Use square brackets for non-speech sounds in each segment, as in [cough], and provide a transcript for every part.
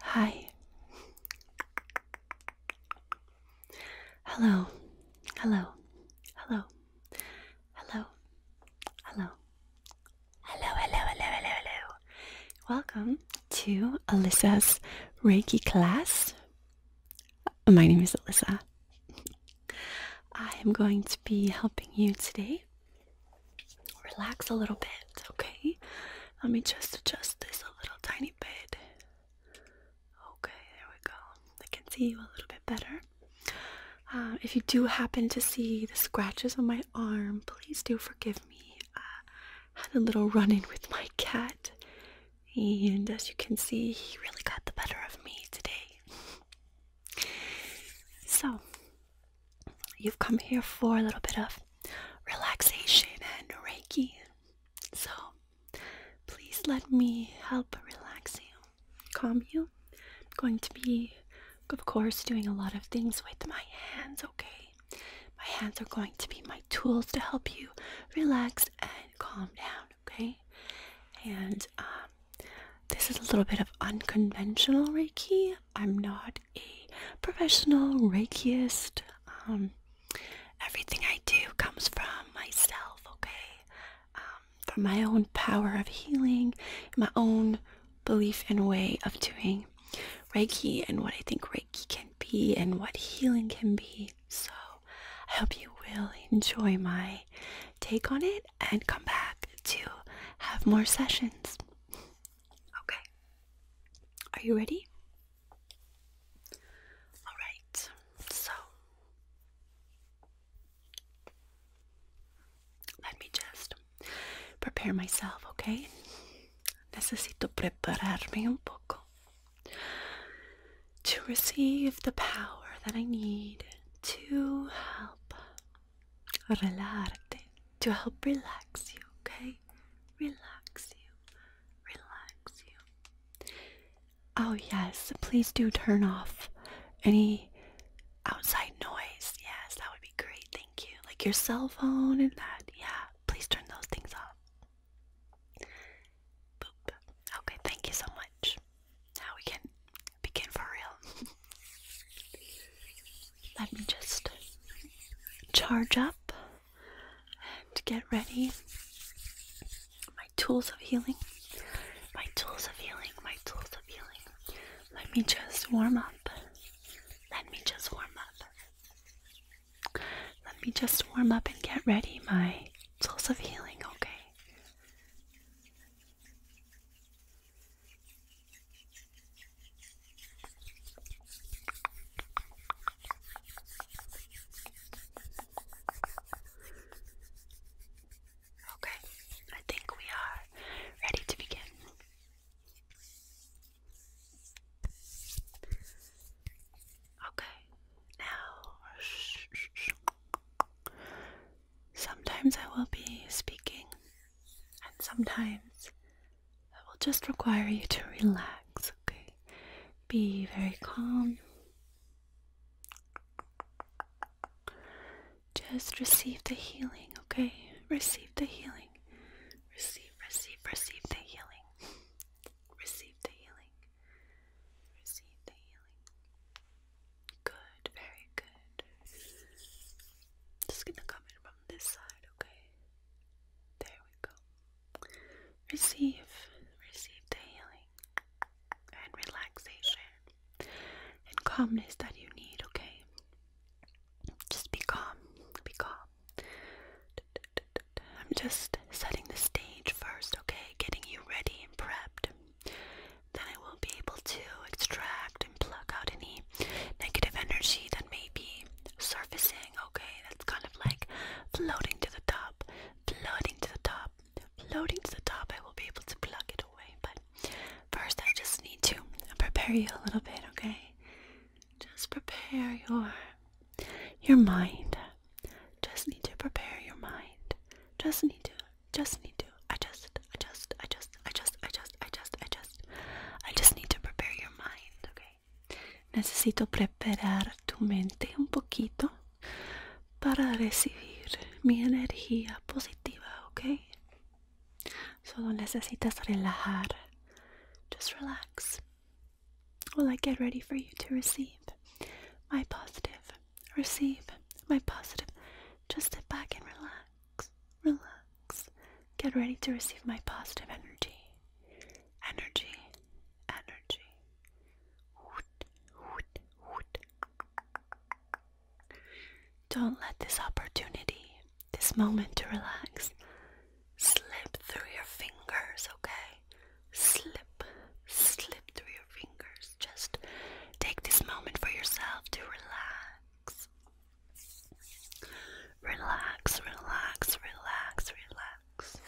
Hi. Hello. Hello. Hello. Hello. Hello. Hello, hello, hello, hello, Welcome to Alyssa's Reiki class. My name is Alyssa. I am going to be helping you today. Relax a little bit, okay? Let me just adjust this a little tiny bit. Okay, there we go. I can see you a little bit better. Uh, if you do happen to see the scratches on my arm, please do forgive me. I had a little run in with my cat, and as you can see, he really got the better of me today. so, you've come here for a little bit of relaxation and Reiki. So, please let me help relax you calm you. I'm going to be, of course, doing a lot of things with my hands, okay? My hands are going to be my tools to help you relax and calm down, okay? And um, this is a little bit of unconventional Reiki. I'm not a professional Reikiist. Um, everything I do comes from myself, okay? Um, from my own power of healing, my own belief and way of doing Reiki and what I think Reiki can be and what healing can be. So I hope you will enjoy my take on it and come back to have more sessions. Okay. Are you ready? All right. So let me just prepare myself, okay? Necesito prepararme un poco to receive the power that I need to help relarte, to help relax you, okay? Relax you, relax you. Oh, yes, please do turn off any outside noise. Yes, that would be great. Thank you. Like your cell phone and that. Yeah, please turn those things off. Boop. Okay, thank you so much. Now we can begin for real. [laughs] Let me just charge up and get ready. My tools of healing. My tools of healing. My tools of healing. Let me just warm up. Let me just warm up. Let me just warm up and get ready, my tools of healing, okay? Okay, I think we are ready to begin. Okay, now sometimes I will be speaking, and sometimes I will just require you to relax, okay? Be very calm. Just receive the healing, okay? Receive the healing. Receive, receive, receive the healing. Receive the healing. Receive the healing. Good, very good. Just gonna come in from this side, okay? There we go. Receive, receive the healing and relaxation and calmness that you need, okay? Just be calm, be calm. I'm just setting the stage first, okay? Getting you ready and prepped. Then I will be able to extract and pluck out any negative energy that may be surfacing, okay? That's kind of like floating to the top, floating to the top, floating to the top. I will be able to pluck it away, but First, I just need to prepare you a little bit, okay? Just prepare your your mind. Just need to prepare your mind. Just need to. Just need to. I just. I just. I just. I just. I just. I just. I just. I just need to prepare your mind, okay? Necesito preparar tu mente un poquito para recibir mi energía positiva, okay? Solo necesitas relajar. Just relax while I get ready for you to receive my positive. Receive my positive. Just sit back and relax. Relax. Get ready to receive my positive energy. Energy. Energy. Woot, woot, woot. Don't let this opportunity, this moment to relax, slip through your fingers, okay? Slip, slip through your fingers. Just take this moment for yourself to relax. Relax, relax, relax, relax.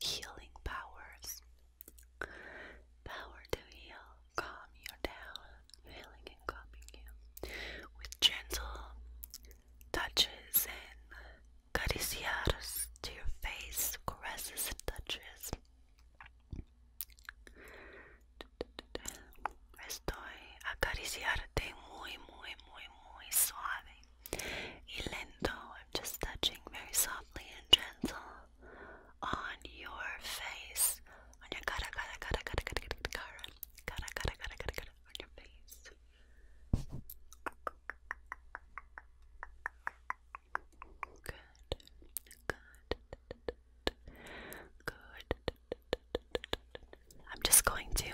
Healing powers. Power to heal, calm you down, healing and calming you with gentle touches and caricias to your face, caresses and touches. Estoy acariciarte muy, muy, muy, muy suave. I'm just touching very softly and gentle on your face, on your cara, cara, cara, cara, cara, cara, cara, cara, cara, cara, on your face. Good, good, good. I'm just going to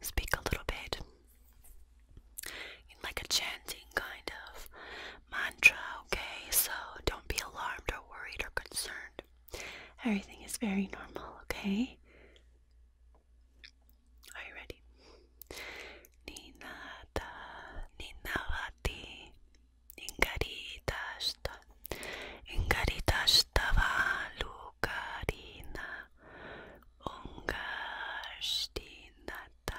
speak a little bit in like a chanting kind of mantra, okay? So don't be alarmed or worried or concerned. Everything is very normal, okay? Are you ready? Ninata, ninavati, ingaritashta, ingaritashta va lukarina, ungastinata,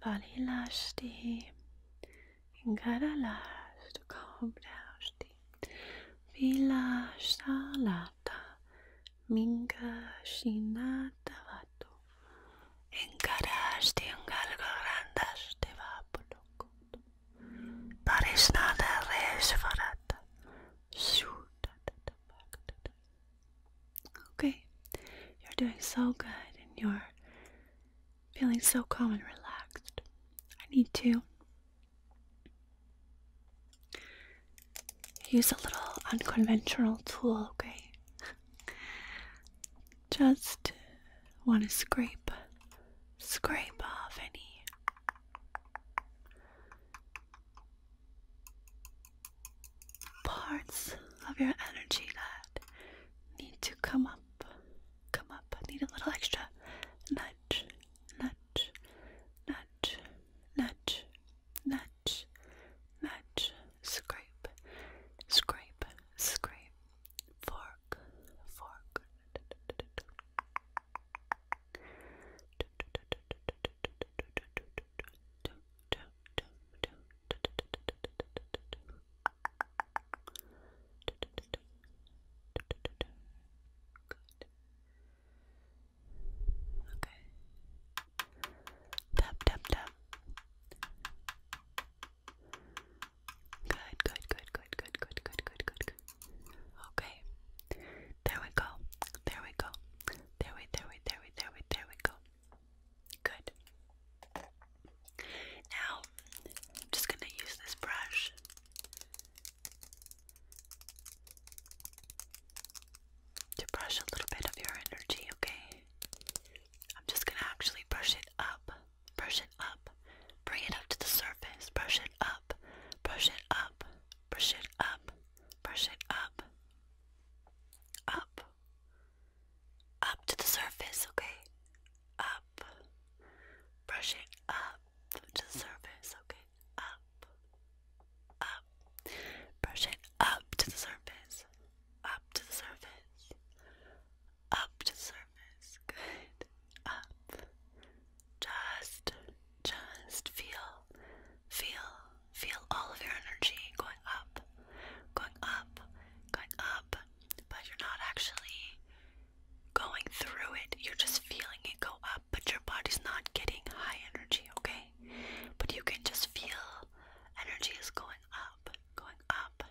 Bali lashti. Ingara lashti. Calm down. Vilashalata. Minga shinata vatu. Ingarashti. Ingalgarandashti vapulukutu. Parishnada resvarata. Okay, you're doing so good and you're Feeling so calm and relaxed. I need to use a little unconventional tool, okay? Just want to scrape, scrape off any parts of your energy that need to come up, come up. I need a little extra nudge, nudge, nudge, nudge, nudge, nudge, scrape, scrape, scrape, fork, fork. Okay. Tap, tap, tap. Good, good, good, good, good, good, good, good, good, Okay. There we go. There we go. There we, there we, there we, there we, there we go. Good. Now, I'm just going to use this brush. To brush a little bit of your energy, okay? I'm just gonna actually brush it up, brush it up, bring it up to the surface, brush it up, brush it up, brush it up, brush it up, up, up to the surface, okay? Up, brushing up to the surface, okay? Up, up, brushing up to the surface, up to the surface, up to the surface, good, up, just, just feel, feel, feel all of your energy going up, going up, going up, but you're not actually going through it. You're just feeling it go up, but your body's not getting high energy, okay? But you can just feel energy is going up, going up.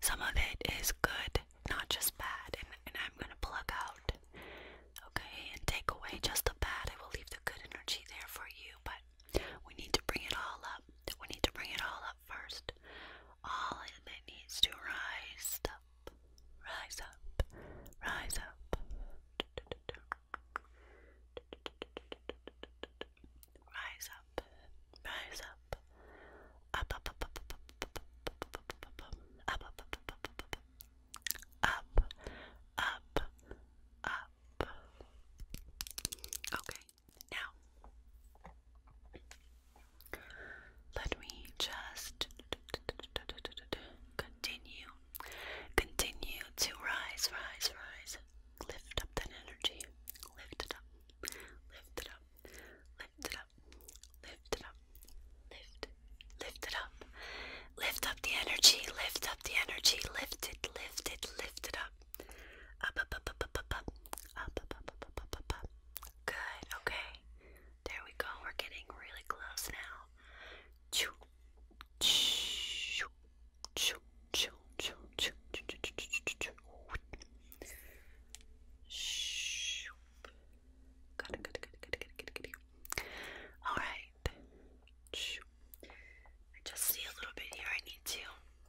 Some of it is good, not just bad, and, I'm gonna plug out, okay, and take away just the bad. I will leave the good energy there for you, but we need to bring it all up. We need to bring it all first. All it needs to rise up, rise up, rise up, rise up, rise up, up, up, up, up, up, up, up, up, up, up, up, up, up, up. Okay, now, let me just continue, continue to rise, rise, rise. Lift up that energy. Lift it up. Lift it up. Lift it up. Lift it up. Lift. Lift it up. Lift up the energy. Lift up the energy. Lift it. Lift it. Lift it up up, up, up, up, up, up, up, up, up, up, up, up, up, up. Good. Okay. There we go. We're getting really close now. Choo, choo, choo, choo, choo, choo, choo, choo, choo, choo. Shoo. Good, good, good, good, good, good, good. All right. Shoo. I just see a little bit here. I need to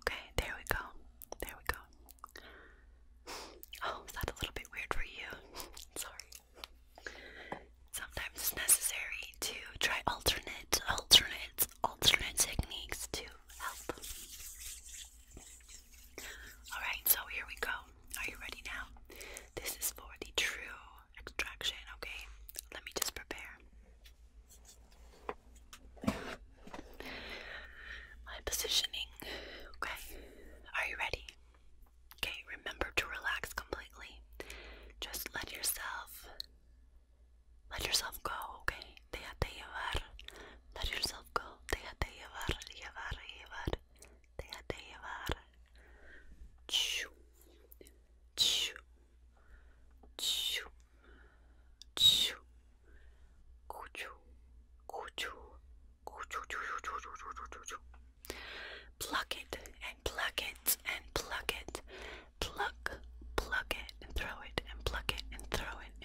Okay, there we go. There we go. Oh, is a little bit weird for you? [laughs] Sorry. Sometimes it's necessary to try alternate, alternate, alternate techniques to help. Alright, so here we go. Are you ready now? This is for the true extraction, okay? Let me just prepare. My positioning, okay? Are you ready? Okay, remember to relax completely. Just let yourself let yourself go, okay? Déjate llevar. Let yourself go. Déjate llevar, llevar, llevar. Déjate llevar. Choo. Choo. Choo. Choo. Cuchu. Cuchu. Cuchu. Pluck it and pluck it and pluck it. Pluck, pluck it and throw it and pluck it and throw it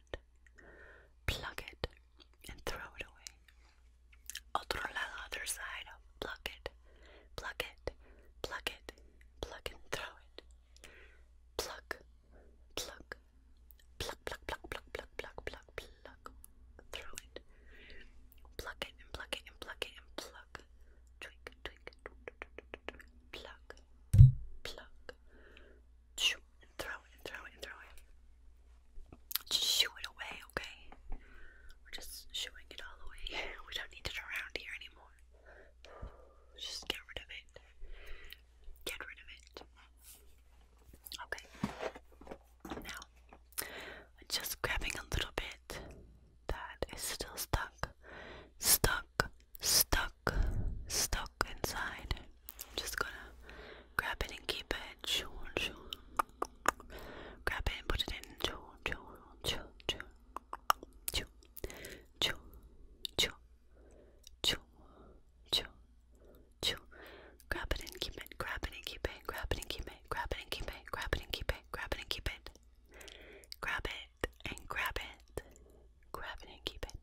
it, plug it, and throw it away. Otro lado, other side, plug it, plug it, plug it, plug and throw it. Plug, plug, plug, plug, plug, plug, plug, plug, plug, plug, throw it. Plug it and plug it and plug it and plug. Twink, twink, plug, plug, and throw it throw it throw it. shoo it away, okay? We're just shooing it all away. [laughs] We don't need it around here anymore. Just get rid of it. Get rid of it. Okay. Now, just grabbing a little bit that is still stuck. Stuck, stuck, stuck look inside. I'm just gonna grab it and keep it. Grab it and put it in. Chew, chew, chew, chew, chew, chew, chew, chew, chew, chew. Grab it and keep it. Grab it and keep it. Grab it and keep it. Grab it and keep it. Grab it and keep it. Grab it and keep it. Grab it and grab it. Grab it and keep it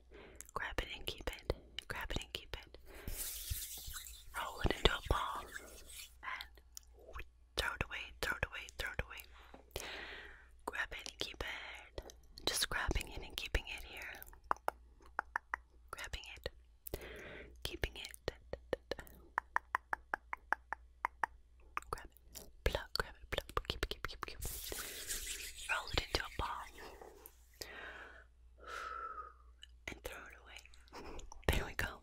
grab it and keep it, grab it and keep it, roll it into a ball, and throw it away, throw it away, throw it away. Grab it and keep it, just grabbing it and keeping it here, grabbing it, keeping it, grab it, pluck, grab it, pluck, keep, keep, keep, keep, roll it into a ball and throw it away. [laughs] There we go.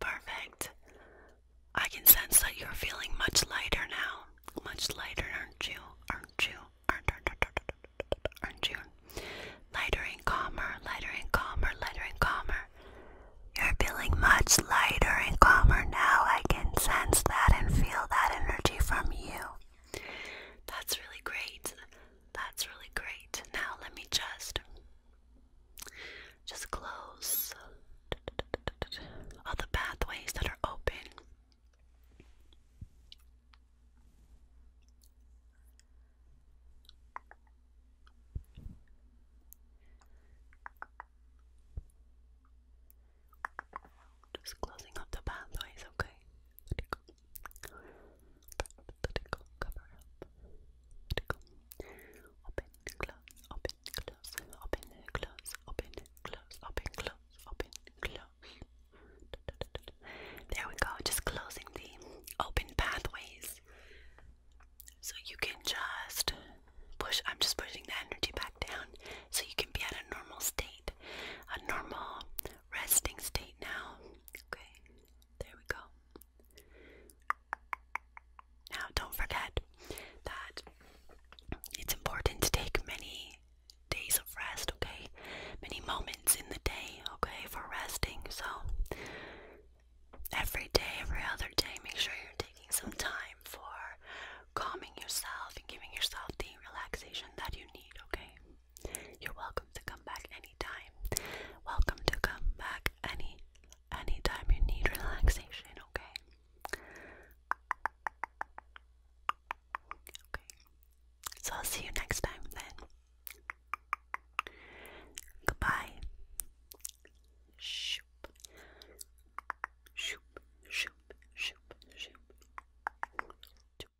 Perfect. I can sense that you're feeling much lighter now. Much lighter, aren't you? Aren't you? Aren't, aren't you? Lighter and calmer, lighter and calmer, lighter and calmer. You're feeling much lighter and calmer now. I can sense that and feel that energy from you. That's really great. That's really great. Now let me just just close all the pathways that are open. Just closing up the pathways, okay? There we go, just closing the open pathways. So you can just push, I'm just pushing the energy back down so you can be at a normal state, a normal resting state now. Okay, there we go. Now, don't forget that it's important to take many days of rest, okay? Many moments in the day, okay, for resting. So, every day, every other day, make sure you're taking some time for calming yourself and giving yourself the relaxation that you need, okay? You're welcome to come back anytime. Welcome to come back any anytime you need relaxation, okay? Okay. So I'll see you next time then. Goodbye. Shoop. Shoop. Shoop. Shoop. Shoop.